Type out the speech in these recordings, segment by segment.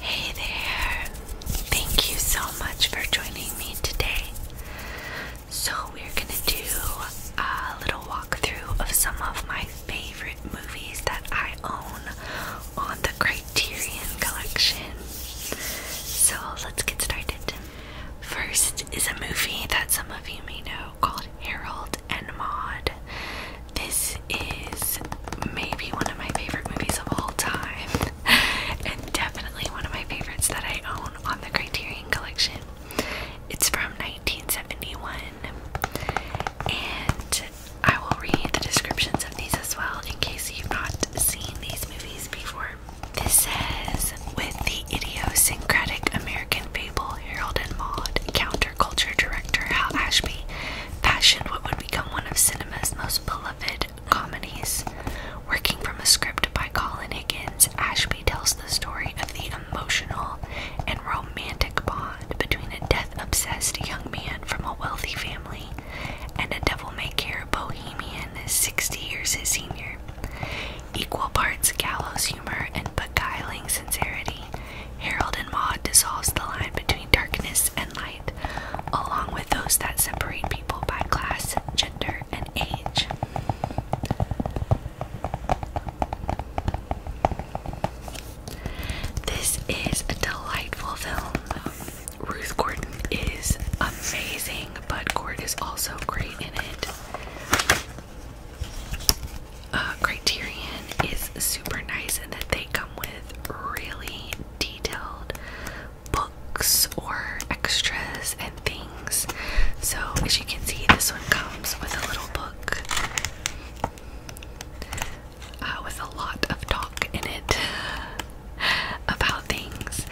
Hey there! Thank you so much for joining me today. So, we're gonna do a little walkthrough of some of my favorite movies that I own on the Criterion Collection. So, let's get started. First is a movie that some of you may know called Harold and Maude. This is maybe one of my favorite movies of all time, and definitely one of my favorites that I own on the Criterion Collection. It's from 1971, and I will read the descriptions of these as well in case you've not seen these movies before. This says, with the idiosyncratic American fable Harold and Maude, counterculture director Hal Ashby fashioned what would become one of cinema's most beloved comedies. Working from a script by Colin Higgins, Ashby tells the story of the emotional and romantic bond between a death obsessed young man from a wealthy family and a devil may care bohemian 60 years his senior. Equal parts gallows humor and beguiling sincerity, Harold and Maude dissolves the line between darkness and light along with those that separate people by class, gender, and age. This is a delightful film. Ruth Gordon is amazing, but Gord is also great in it. Uh, Criterion is super nice in that they come with really detailed books or extras and things. So, as you can see, this one comes with a little book uh, with a lot of talk in it about things.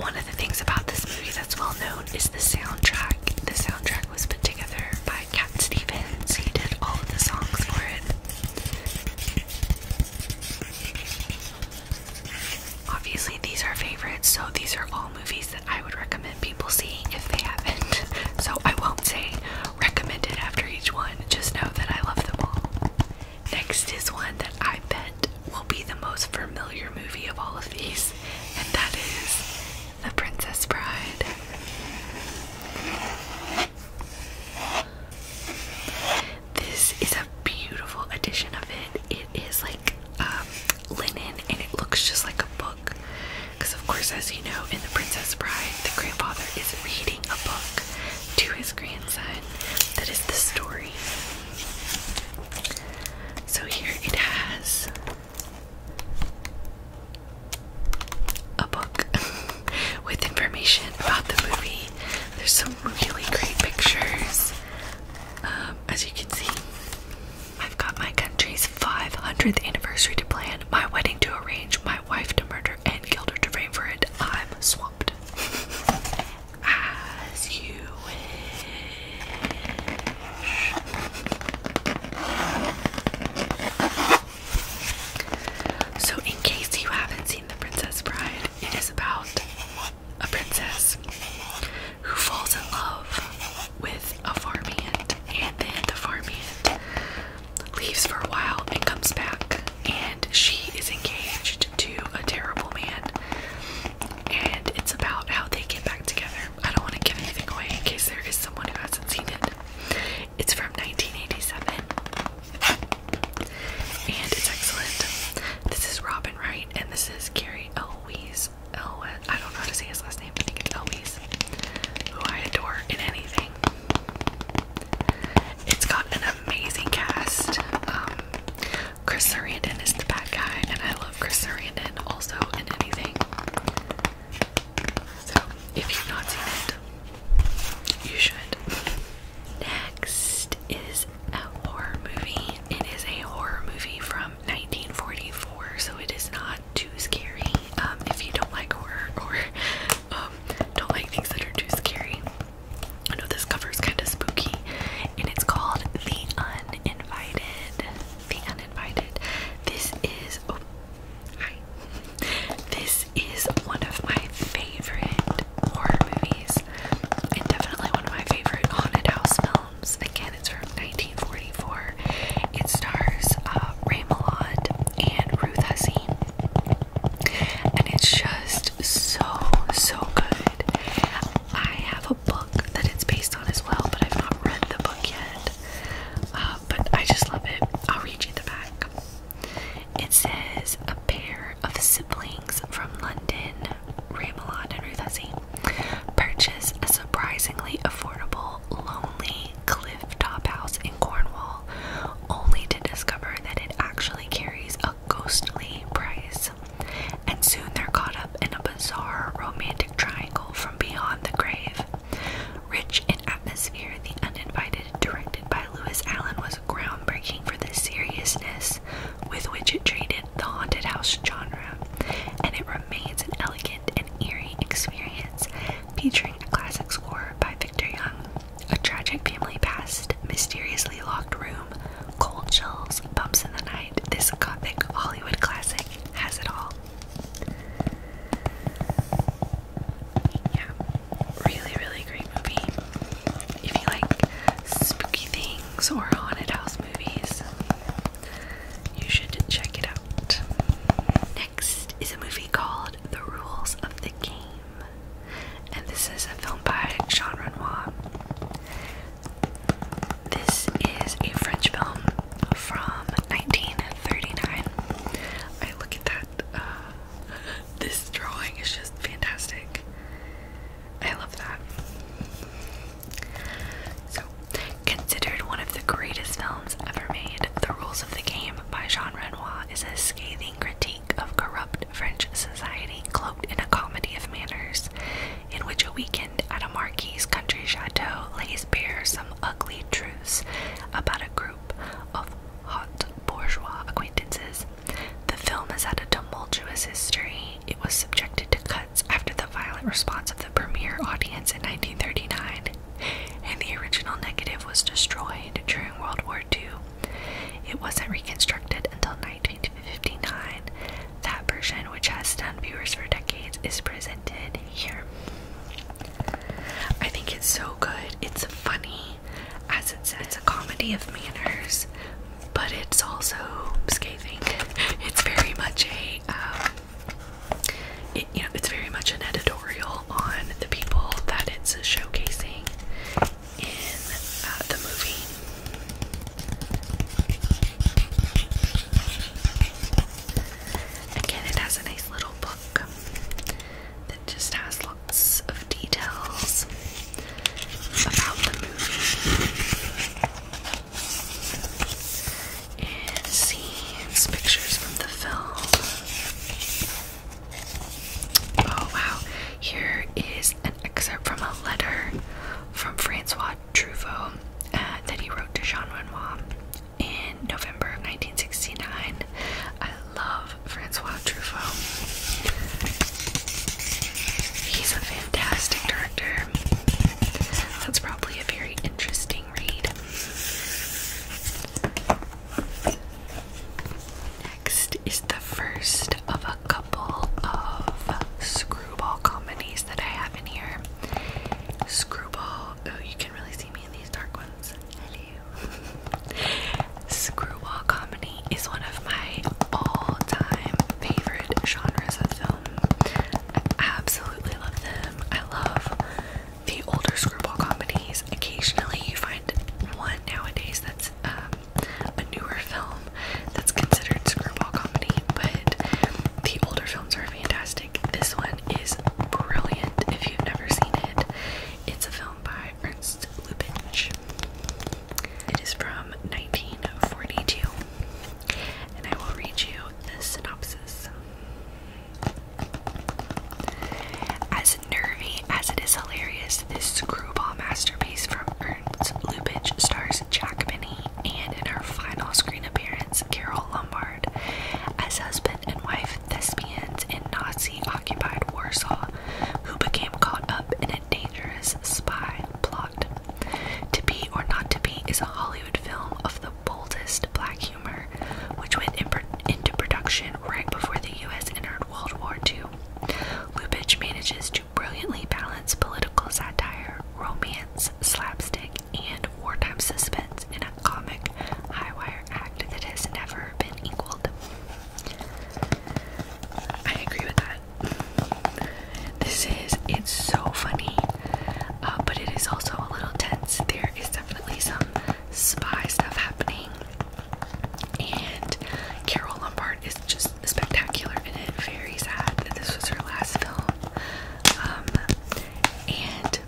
One of the things about this movie that's well known is the soundtrack. The soundtrack was put together by Cat Stevens, he did all of the songs for it. Obviously, these are favorites, so these are all movies that I would recommend people seeing if they haven't. So I won't say recommended after each one, just know that I love them all. Next is one that I bet will be the most familiar movie of all of these, and that is The Princess Bride. This is a beautiful edition of it. It is like um, linen and it looks just like a book. Because, of course, as you know, in The Princess Bride, the grandfather is reading a book to his grandson that is the story. So, here it has a book with information about the movie. There's some really great pictures. Um, as you can see, I've got my country's 500th anniversary to plan, my wedding to arrange, my wife to murder, and Gilder to frame for it. I'm swamped. As you wish. So, in case you haven't seen The Princess Bride, it is about a princess who falls in love with a farmhand, and then the farmhand leaves for a while and comes back, and she is engaged to a terrible man. And it's about how they get back together. I don't want to give anything away in case there is someone who hasn't seen it. It's from 1987. And it's excellent. This is Robin Wright, and this is Gary Elwes. Elwes. I don't know how to say his last name, I think it's Elwes. Who I adore in anything. It's got an amazing cast. Um, Chris Sarandon is the bad guy, and I love Chris Sarandon also in anything. So if you've not seen it, you should. Next is a horror movie. It is a horror movie from 1944, so it is not too scary. Um, if you don't like horror or um, don't like things that are too scary, I know this cover is kind of spooky, and it's called The Uninvited. The Uninvited. This is Hi. This is one of my favorite horror movies, and definitely one of my favorite haunted house films. Again, it's from 1944. It stars uh, Ray Milland and Ruth Hasim, and it's just so so good. I have a book that it's based on as well, but I've not read the book yet. Uh, but I just love it. I'll read you the back. It says a pair of siblings from London, Ramelot and Ruthessie, purchase a surprisingly affordable, lonely cliff-top house in Cornwall, only to discover that it actually carries a ghostly price. And soon they're caught up in a bizarre romantic triangle from beyond the grave. Rich atmosphere, The Uninvited, directed by Lewis Allen, was groundbreaking for the seriousness with which it treated the haunted house genre, and it remains an elegant and eerie experience, featuring a classic score by Victor Young, a tragic family past, mysteriously locked room, cold chills, bumps in the night. This gothic Hollywood classic has it all yeah, really, really great movie. If you like spooky things or haunted house movies, you should check it out. Next is a movie called The Rules of the Game, and this is a film by Jean Renoir. This is a French film from 1939. I look at that uh, this drawing is just fantastic. I love that. So, considered one of the greatest films ever made, The Rules of the Game by Jean Renoir is a scathing critique of corrupt French society cloaked in a comedy of manners, in which a weekend at a marquis country chateau lays bare some ugly truths about a group of hot bourgeois acquaintances. The film has had a tumultuous history. It was subjected to cuts after the violent response of the premiere audience in 1939, and the original negative was destroyed during World War II. It wasn't reconstructed until 1959. That version, which has stunned viewers for decades, is presented here. I think it's so good. It's funny as it says, it's a comedy of manners, but it's also scathing. It's very much a, um, you know, it's very much an editorial on the people that it's showcasing in uh, the movie. Again, it has a nice little book that just has lots of details about the movie and scenes, pictures from the film. Oh wow, here is an excerpt from a letter from Francois Truffaut uh, that he wrote to Jean Renoir in November of 1969 love Francois Truffaut. He's a fantastic director. That's probably a very interesting read. Next is the first of a couple of screwball comedies that I have in here. Screwball, oh, you can really see me in these dark ones. Screwball comedy is one of my all-time favorite genres of film. I absolutely love them. I love the older screwball comedies. Occasionally, you find one nowadays that's um, a newer film that's considered screwball comedy, but the older films are fantastic. This one is brilliant if you've never seen it. It's a film by Ernst Lubitsch. It is from 1942, and I will read you the synopsis. As nervy as it is hilarious, this screwball masterpiece from Ernst Lubitsch stars Jack Benny and in her final screen appearance, Carol Lombard as husband and wife thespians in Nazi occupied Warsaw who became caught up in a dangerous spy plot. To Be or Not to Be is a Hollywood film of the boldest black humor, which went into production right before the US entered World War II. Lubitsch manages to brilliantly balance political satire, romance, slapstick, and wartime suspense in a comic high wire act that has never been equaled. I agree with that. This is, it's so funny, uh, but it is also a little tense. There is definitely some spy stuff happening, and Carol Lombard is just spectacular in it. Very sad that this was her last film. Um, and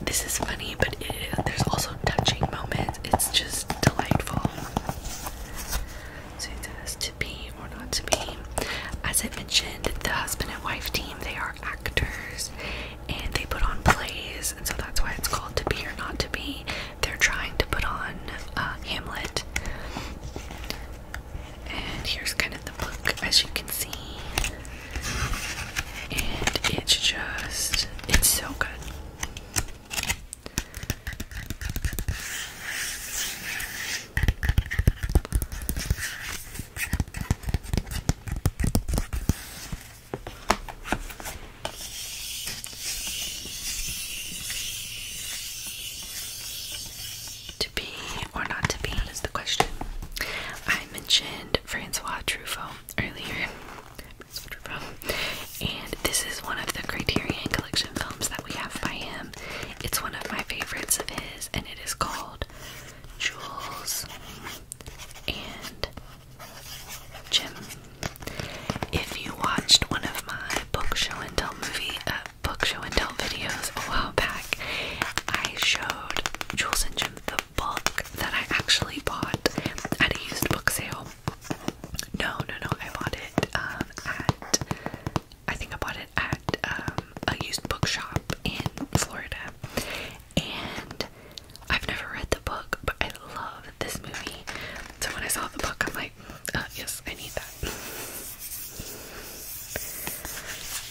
this is funny, but there's also touching moments. It's just delightful. So it says to be or not to be. As I mentioned, the husband and wife team, they are actors and they put on plays, and so that's why it's called to be or not to be. They're trying to put on uh, Hamlet. And here's kind of the book, as you can see. And it's just, it's so good. To be or not to be is the question. I mentioned Francois Truffaut earlier. And this is one of the Criterion Collection films that we have by him. It's one of my favorites of his, and it is called Jules and Jim. If you watched one of my book show and tell movie, uh, book show and tell videos a while back, I showed Jules and Jim the book that I actually bought at a used book sale. No, no, no, I bought it um, at, I think I bought it at um, a used book shop in Florida. And I've never read the book, but I love this movie. So when I saw the book, I'm like, uh, yes, I need that.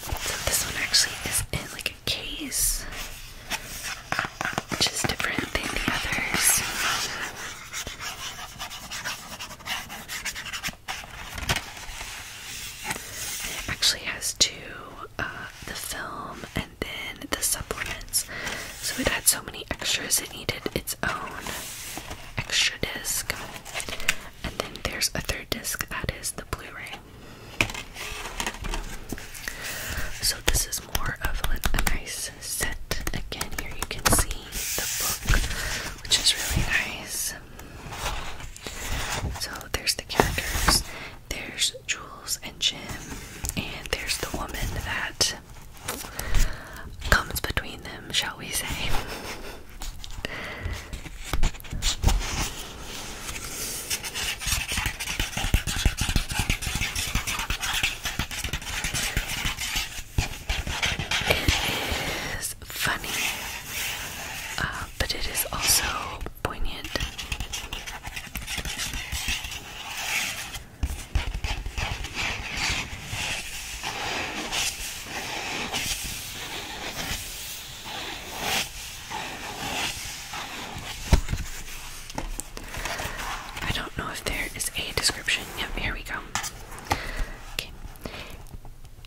So this one actually is in like case, which is different than the others. It actually has two uh, the film and then the supplements. So it had so many extras, it needed its own extra disc. And then there's a third disc that is the Blu ray. So this is more of a nice set. Again, here you can see the book, which is really nice. So there's the characters, there's Jules and Jim, and there's the woman that comes between them, shall we say. It is funny, uh, but it is also poignant. I don't know if there is a description. Yep, here we go.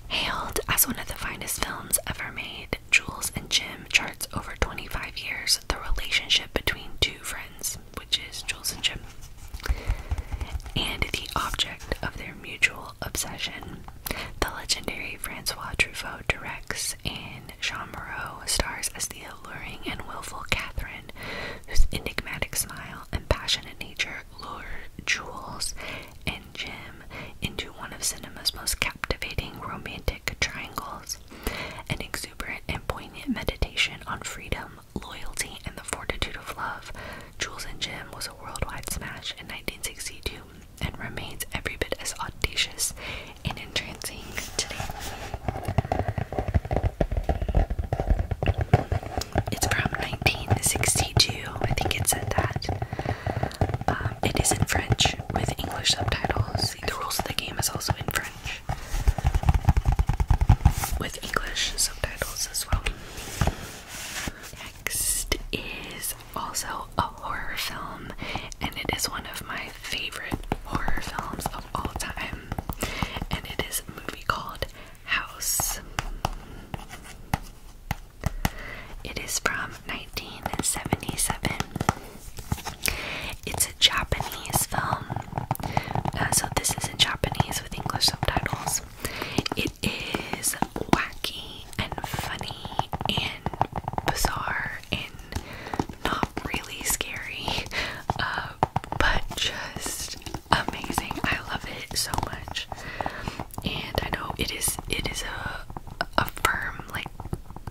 Hailed as one of the finest films ever made, Jules and Jim charts over 25 years the relationship between two friends, which is Jules and Jim, and the object of their mutual obsession. The legendary Francois Truffaut directs actress in Jean Moreau stars as the alluring and willful Catherine, whose enigmatic smile and passionate nature lure Jules and Jim into one of cinema's most captivating romantic triangles. An exuberant and poignant meditation on freedom, loyalty, and the fortitude of love, Jules and Jim was a worldwide smash in 1962 and remains every bit as audacious and entrancing today. It's from 1962, I think it said that. Um, it is in French with English subtitles. The rules of the game is also in French with English subtitles as well. Next is also a horror film, and it is one of my favorite horror films of all time, and it is a movie called House. It is from 1977. It's a Japanese film, uh, so this is in Japanese with English subtitles. It is wacky and funny and bizarre and not really scary, uh, but just amazing. I love it so much, and I know it is. It is a a firm like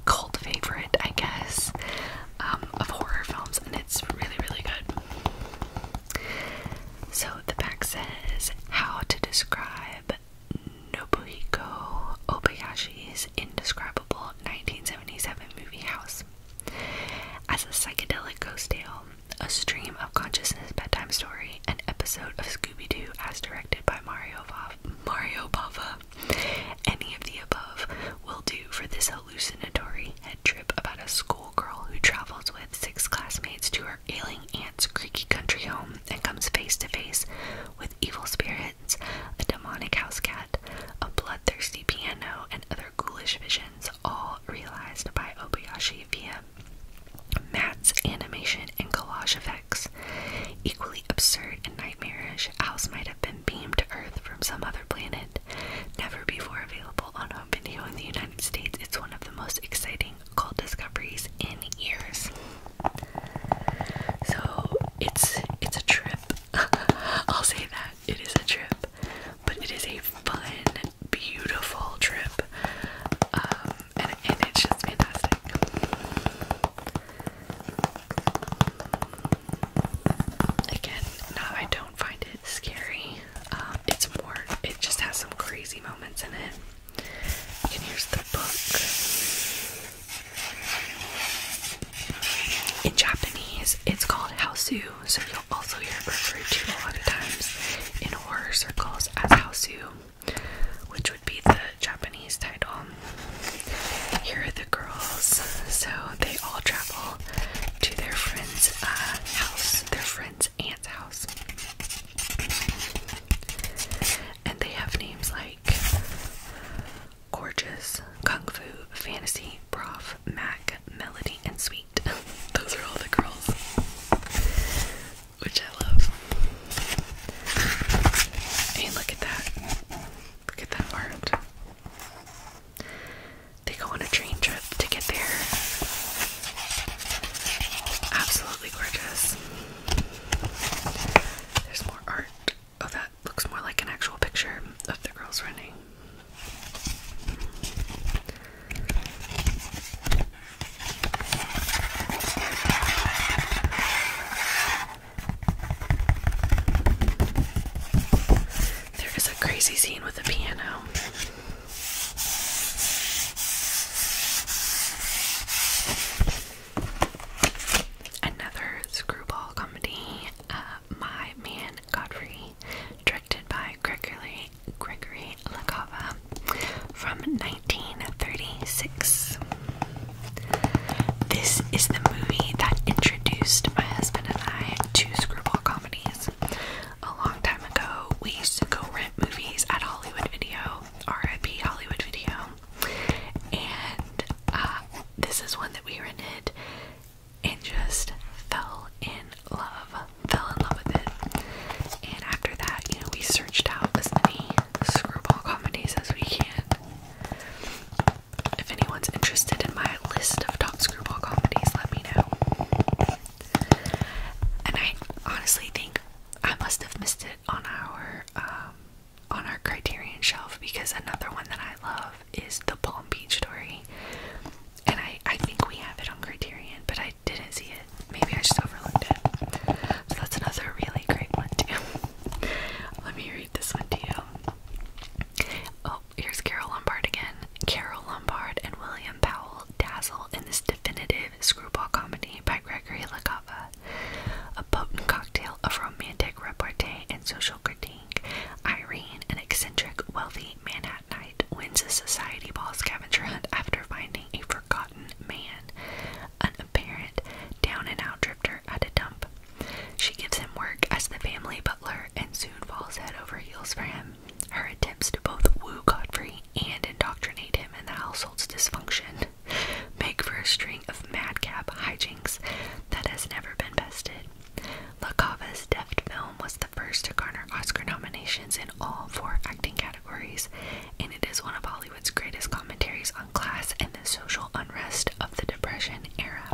cult favorite, I guess, um, of horror films, and it's really really good. So the back says how to describe. Nobuhiko is indescribable 1977 movie House. As a psychedelic ghost tale, a stream of consciousness bedtime story, an episode of Scooby Doo as directed by Mario, Va Mario Bava, any of the above will do for this hallucinatory head trip about a schoolgirl who travels with six classmates to her ailing aunt's creaky country home and comes face to face with evil spirits, a demonic house cat, a bloodthirsty piano, and other ghoulish visions, all realized by Obayashi via Matt's animation, and collage effects. Equally absurd and nightmarish, House might have been beamed to Earth from some other planet. Never before available on home video in the United States, it's one of the most exciting cult discoveries in years. So it's it's a trip. I'll say that. It is a trip, but it is a fun, beautiful trip. Um, and, it's just fantastic. Again, no, I don't find it scary. Um, it's more, it just has some crazy moments in it. And here's the book. In Japanese, it's called Haosu, so you'll also hear it referred to a lot of times in horror circles as Haosu, which would be the Japanese title. Here are the girls, so they all travel to their friend's uh, house, their friend's aunt's house. And they have names like Gorgeous, Kung Fu, Fantasy, Prof, Mac, Melody, and Sweet. Those are all the girls, which I love. And look at that. Look at that art. They go on a train trip to get there. Absolutely gorgeous. There's more art. Oh, that looks more like an actual picture of the girls running. There is a crazy scene with a piano. Another screwball comedy. Uh, my Man Godfrey, directed by Gregory, Gregory LaCava from 1936. This is the movie that introduced my husband and I to screwball comedies. A long time ago, we used to go rent movies at Hollywood Video, RIP Hollywood Video, and uh, this is one that we rented and just fell in love. Fell in love with it. And after that, you know, we searched out as many screwball comedies as we can. If anyone's interested in my list of top screwball comedies, let me know. And I honestly think I must have missed it on our um, on our Criterion shelf because another one that I love is the Palm Beach Story, and I I think we have it on Criterion, but I didn't see it. Maybe I just overlooked it. So that's another really great one too. Let me read this one to you. Oh, here's Carol Lombard again. Carol Lombard and William Powell dazzle in this definitive screwball comedy by Gregory LaCava, a potent cocktail of romantic repartee and social critique Irene, an eccentric, wealthy man at night, wins a society ball scavenger hunt after finding a forgotten man, an apparent down and out drifter at a dump. She gives him work as the family butler and soon falls head over heels for him. Her attempts to both woo Godfrey and indoctrinate him in the household's dysfunction make for a string of madcap hijinks that has never been bested. La Cava's deft film was the first to garner Oscar nominations in all four acting categories, and it is one of Hollywood's greatest commentaries on class and the social unrest of the Depression era.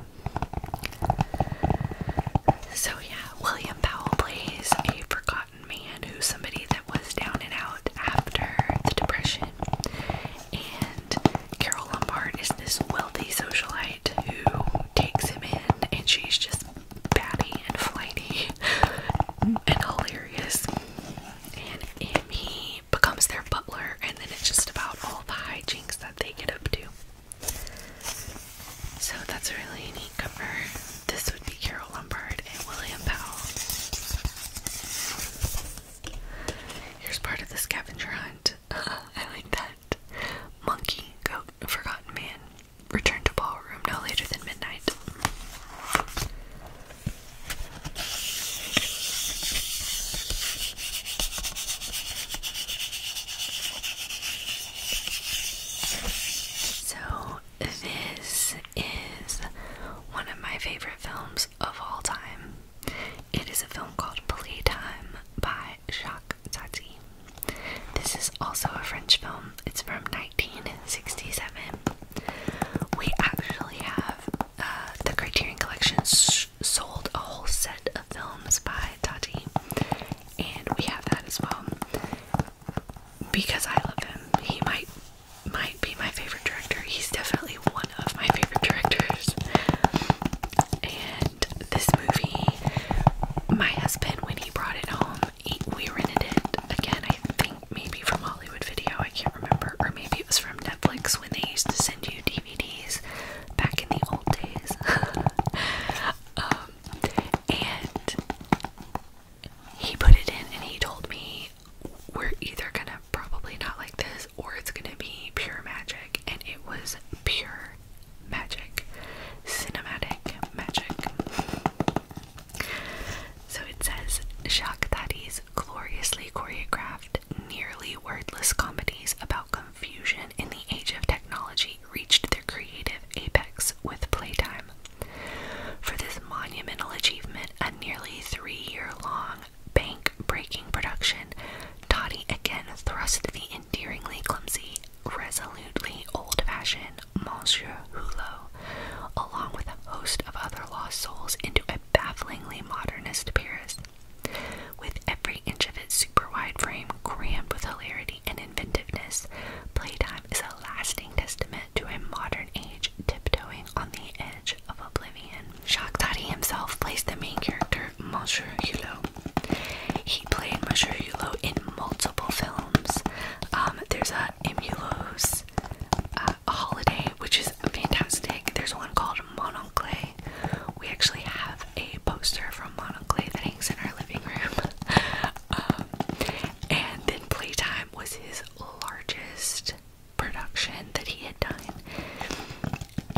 So, yeah, William Powell plays a forgotten man who's somebody that was down and out after the Depression, and Carol Lombard is this wealthy socialite who takes him in, and she's just batty and flighty and hilarious. And, he becomes their butler, and then it's just about all the hijinks that they get up to. So that's a really neat cover. This would be Carol Lombard and William Powell. Here's part of the scavenger hunt. I like that. Monkey, Goat, Forgotten Man. Return to ballroom no later than midnight. So, this is one of my favorite films of all time. It is a film called Playtime by Jacques Tati. This is also a French film. It's from 1967. We actually have uh, the Criterion Collection sold a whole set of films by Tati, and we have that as well. Because I love him, he might might be my favorite director. He's definitely one of my favorite directors, this movie, my husband, when he brought it home, he, we rented it again, I think maybe from Hollywood Video, I can't remember, or maybe it was from Netflix when they used to send you DVDs back in the old days. Um, and he put it in and he told me, We're either gonna probably not like this or it's gonna be pure magic. And it was pure magic. Cinematic magic. So it says Jacques Tati's gloriously choreographed, nearly wordless comedies about confusion in the age of technology reached their creative apex with playtime. For this monumental achievement, a nearly three year long bank breaking production, Toddy again thrust the endearingly clumsy, resolutely old fashioned Monsieur Hulot, along with a host of other lost souls, into a bafflingly modernist Paris. With every inch of its super wide frame crammed with hilarity and inventiveness, Playtime is a lasting testament to a modern age tiptoeing on the edge of oblivion. Jacques Tati himself plays the main character Musher Hulot. He played Monsieur Hulot in multiple films. Um, there's a Emulos uh, Holiday, which is fantastic. There's one called Mononcle. We actually have a poster from Mononcle that hangs in our living room. Um, and then Playtime was his largest production that he had done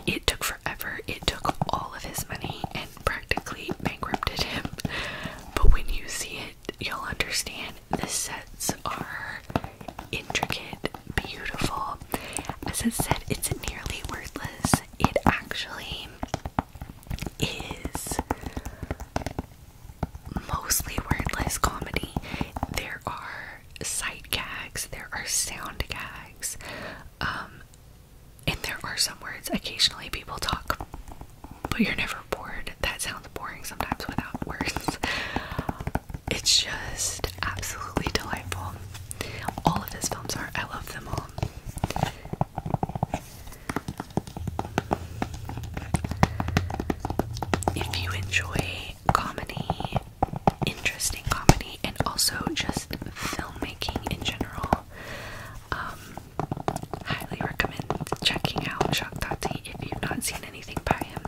it took forever. It took all of his money and practically bankrupted him. But when you see it, you'll understand the sets are intricate, beautiful. As I said, it's nearly wordless. It actually is mostly wordless comedy. There are sight gags, there are sound gags. Um, and there are some words occasionally people talk, but you're never bored. That sounds boring sometimes without words. It's just absolutely delightful. All of his films are, I love them all. If you enjoy comedy interesting comedy and also just filmmaking in general. Um, highly recommend checking out Jacques Tati if you've not seen anything by him.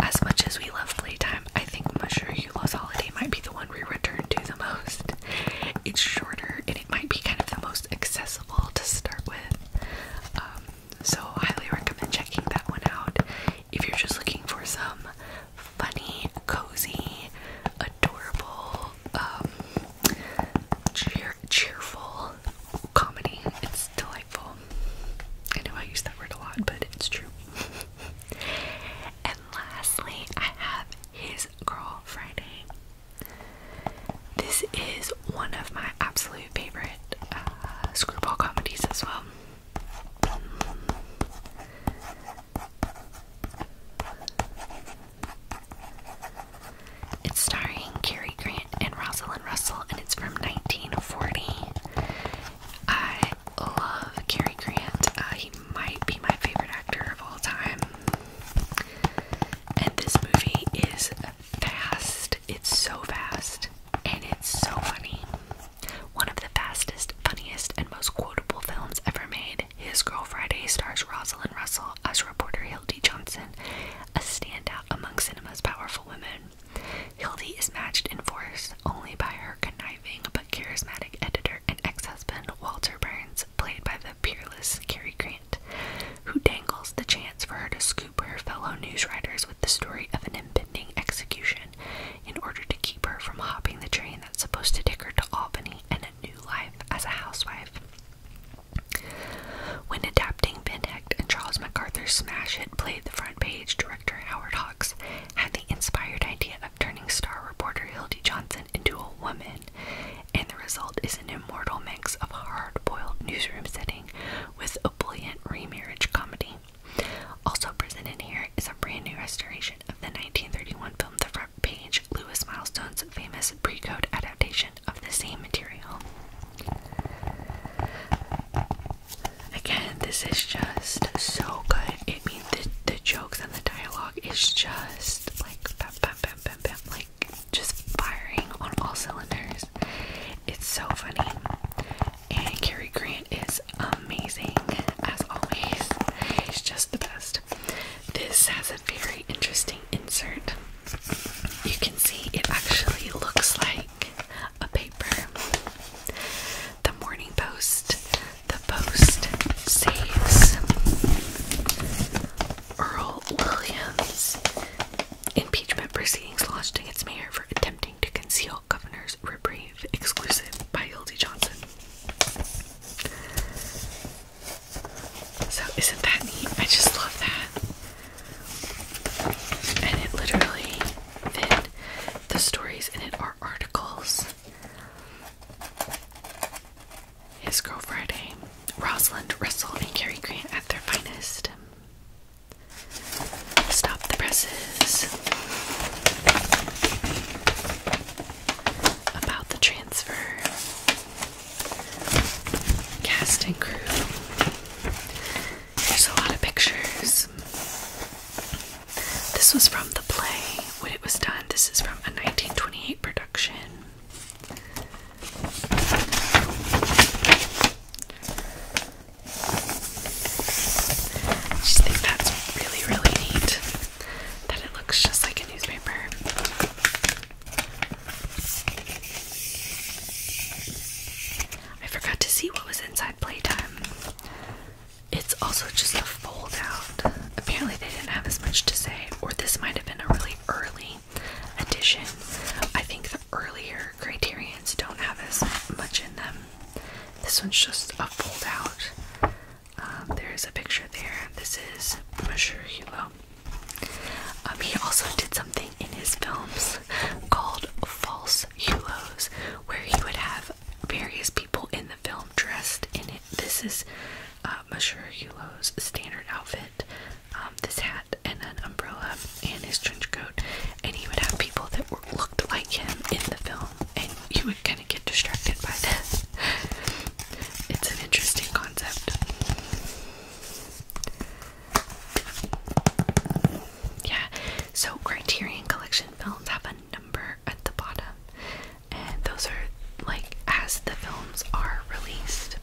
As much as we love playtime, I think Mushroom Hula's Holiday might be the one we return to the most. It's shorter and it might be kind of the most accessible to start with. Um, so highly recommend checking that one out if you're just looking for some funny, cozy, adorable, um, cheer cheerful comedy. It's delightful. I know I use that word a lot, but it's true. and lastly, I have his Girl Friday. This is one of my absolute favorite uh, screwball comedies as well. it's starring Cary Grant and Rosalind Russell, and it's from 1940. I love Cary Grant. Uh, he might be my favorite actor of all time. And this movie is fast. It's so fast. And it's so funny. One of the fastest, funniest, and most quotable films ever made, His Girl Friday stars Rosalind Russell as reporter Hildy Johnson, a standout among cinema's powerful women. Hildy is matched in force only by her conniving but charismatic editor and ex-husband Walter Burns, played by the peerless Cary Grant, who dangles the chance for her to scoop her fellow news writers with the story of an impending execution in order to keep her from hopping the train that's supposed to take her to Albany and a new life as a housewife. When adapting Ben and Charles MacArthur's smash hit played the front page, director Howard Hawks had the inspired idea of turning star reporter Hildy Johnson into a woman, and the result is an immortal mix of hard boiled newsroom setting with a brilliant remarriage comedy. Also presented here is a brand new restoration of the 1931 film The Front Page, Lewis Milestone's famous pre-code adaptation of the same material. Again, this is just so good. It means the, the jokes and the dialogue is just like bam, bam, bam, bam, bam, like just firing on all cylinders. It's so funny and Cary Grant is amazing as always. He's just the best. This has a very interesting insert. You can see it actually looks like a paper. The Morning Post. The Post says Earl Williams. Impeachment proceedings launched against mayor for attempting to conceal Governor's reprieve, exclusive by Hildy Johnson. So, isn't that neat? I just love that. And it literally the stories in it are articles. His Girl Friday, Rosalind Russell, and Cary Grant at their finest. Stop the presses. About the transfer. Cast crew. There's a lot of pictures. This was from the play when it was done. This is from a 1928 production. I just think that's really, really neat that it looks just like a newspaper. I forgot to see what was inside Playtime. It's also just a fold out. Apparently, they didn't have as much to say, or this might have been a really early edition. I think earlier criterions don't have as much in them. This one's just a fold out. Um, there's a picture there. This is Monsieur Hugo. Um, he also did something in his films called false hulos, where he would have various people in the film dressed in it. This is uh, Monsieur Hulot's standard outfit. Um, this hat and an umbrella and his trench coat, and he would have people that were, looked like him in the film, and you would kind of get distracted by this. It's an interesting concept. Yeah, so Criterion Collection films have a number at the bottom, and those are like as the films are released.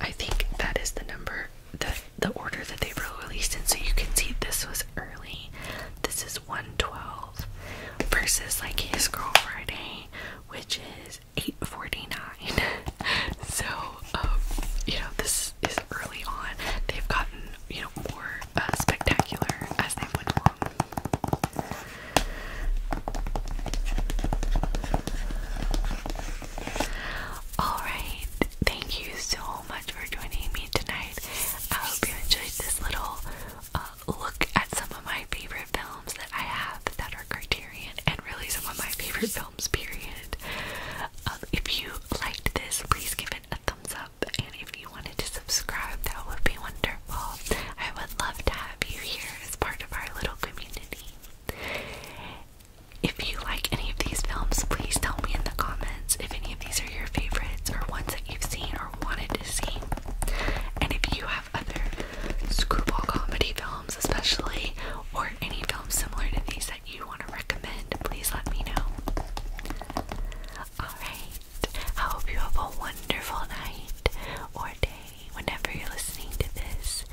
I think that is the number the the order that they were released in so you can see this was early this is 112 versus like his girl friday which is 849 so um, you know this is early on they've gotten you know more uh, spectacular as they went along Alright, thank you so much for joining me tonight. I hope you enjoyed this little uh, look at some of my favorite films that I have that are Criterion and really some of my favorite films, period. Um, if you liked this, please give it a thumbs up. And if you wanted to subscribe, that would be wonderful. I would love to have you here as part of our little community. If you like any of these films, please tell me in the comments if any of these are your favorites or ones that you've seen or wanted to see. And if you have other screwball comedy films, especially, or any films similar to these that you want to recommend, please let me know. Alright, I hope you have a wonderful night or day whenever you're listening to this.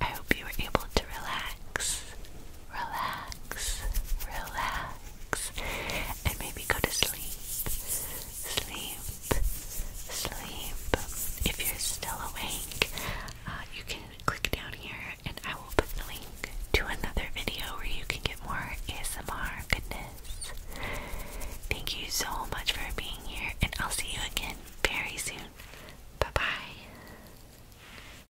I hope you were able to relax relax, relax, and maybe go to sleep, sleep, sleep. If you're still awake, uh, you can click down here and I will put the link to another video where you can get more ASMR goodness. Thank you so much for being here, and I'll see you again very soon. Bye bye.